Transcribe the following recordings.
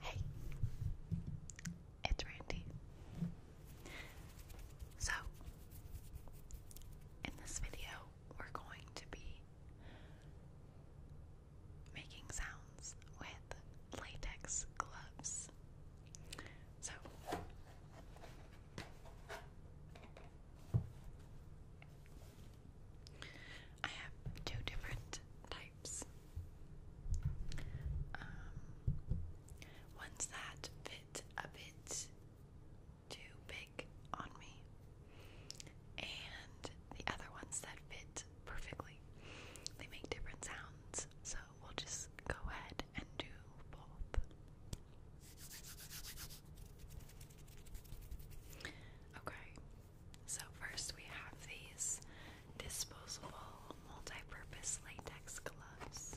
Hey, it's Randy. So, in this video, we're going to be making sounds with latex gloves. So, I have two different types um, ones that fit a bit too big on me, and the other ones that fit perfectly. They make different sounds, so we'll just go ahead and do both. Okay, so first we have these disposable multi-purpose latex gloves.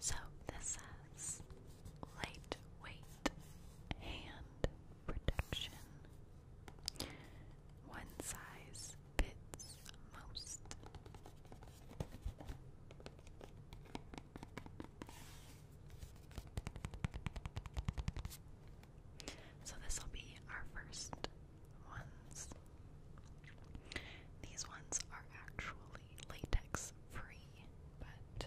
So this says lightweight hand protection. One size fits most. So this will be our first ones. These ones are actually latex free, but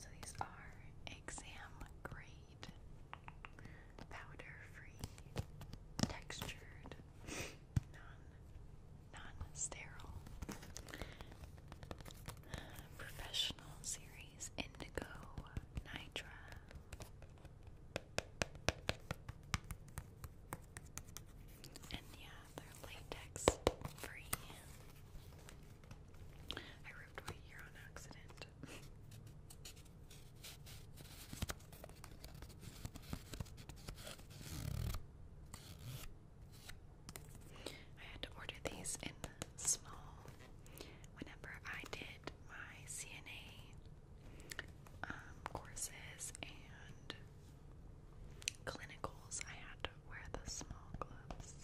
So these are exam grade, powder free, textured, non non sterile Professional Series Indigo Nitra. And yeah, they're latex free. I ripped my ear on accident. I had to order these in small. Whenever I did my CNA um, courses and clinicals, I had to wear the small gloves.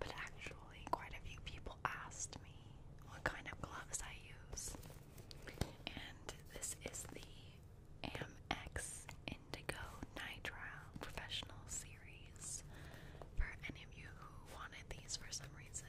But actually, quite a few people asked me what kind of gloves I use. And this is the Amex Indigo Nitrile Professional Series for any of you who wanted these for some reason.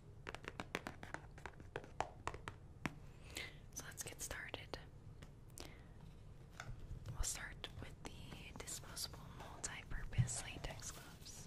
So let's get started. We'll start with the disposable multi-purpose latex gloves.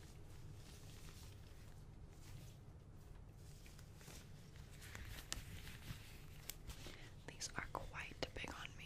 These are quite big on me.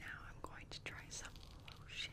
Now I'm going to try some lotion.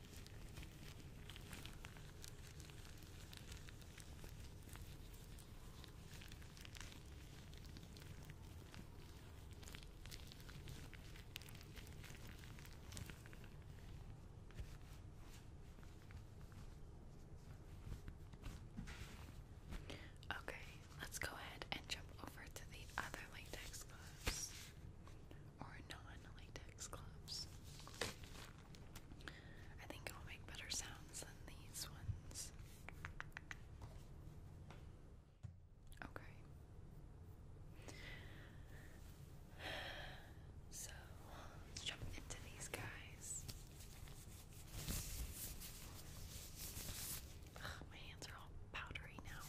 Okay, let's go ahead and jump over to the other latex gloves or non-latex gloves. I think it'll make better sounds than these ones. Okay. So, let's jump into these guys. my hands are all powdery now.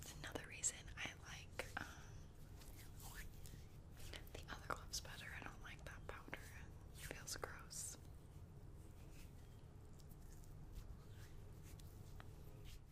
It's another reason I like um, oh, the other gloves better. I don't like that powder. It feels gross.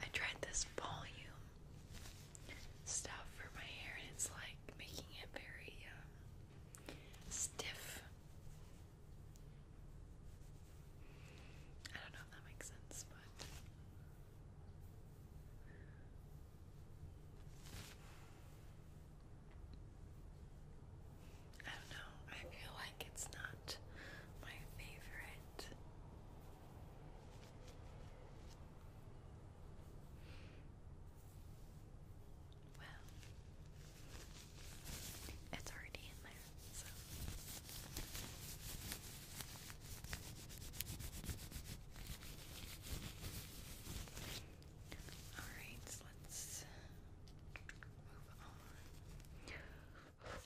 I tried this volume stuff for my hair, and it's like making it very um, stiff. I don't know if that makes sense, but I don't know, I feel like it's not my favorite. Well, it's already in there, all right, so let's move on. Okay.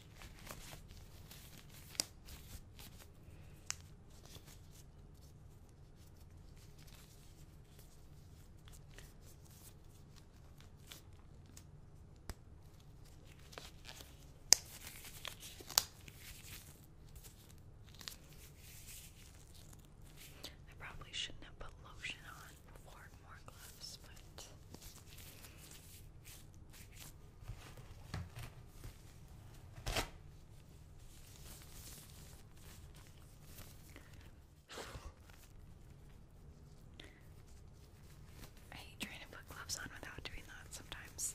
I probably shouldn't have put lotion on before more gloves, but I hate trying to put gloves on without doing that sometimes.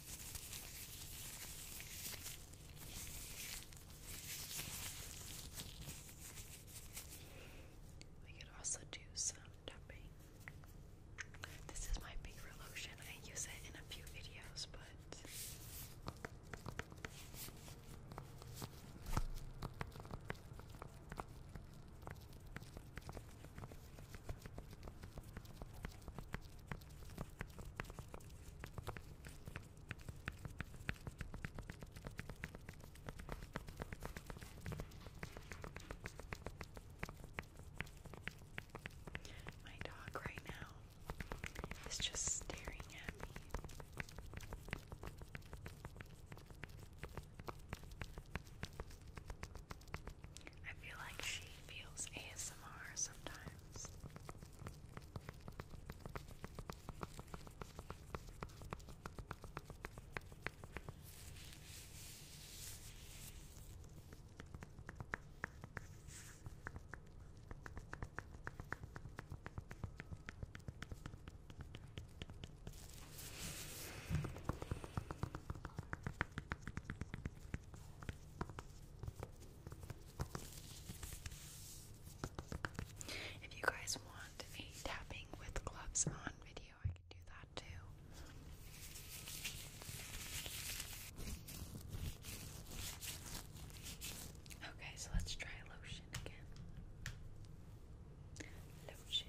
We could also do some tapping. This is my paper lotion. I use it in a few videos, but my dog right now is just staring at me. I feel like she feels ASMR sometimes. If you guys want a tapping with gloves on video, I can do that too. Okay, so let's try lotion again. Lotion.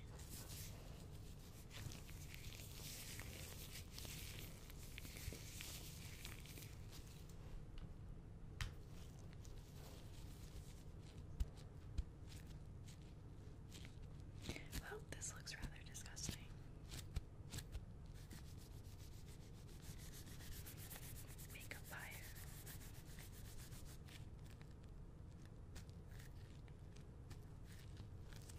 Well, oh, this looks rather disgusting. Makeup fire.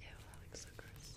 Ew, that looks so gross.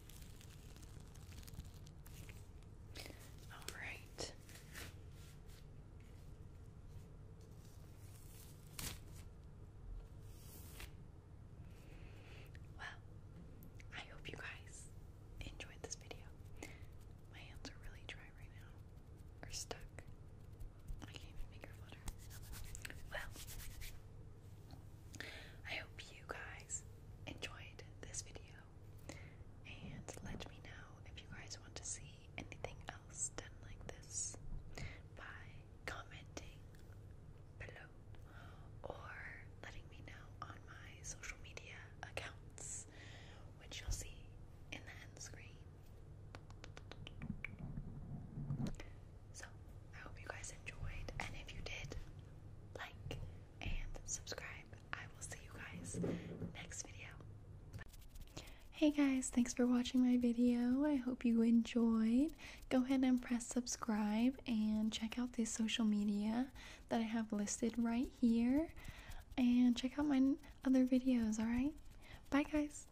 All right. Well, I hope you guys enjoyed this video. My hands are really dry right now. Or stuck. I can't even finger flutter. Well, I hope you guys enjoyed this video and let me know if you guys want to see anything else done like this by commenting below or letting me know on my social media accounts which you'll see in the end screen. So, I hope you guys enjoyed and if you did, like and subscribe. I will see you guys next video. Hey guys, thanks for watching my video. I hope you enjoyed. Go ahead and press subscribe and check out the social media that I have listed right here. And check out my other videos, alright? Bye guys!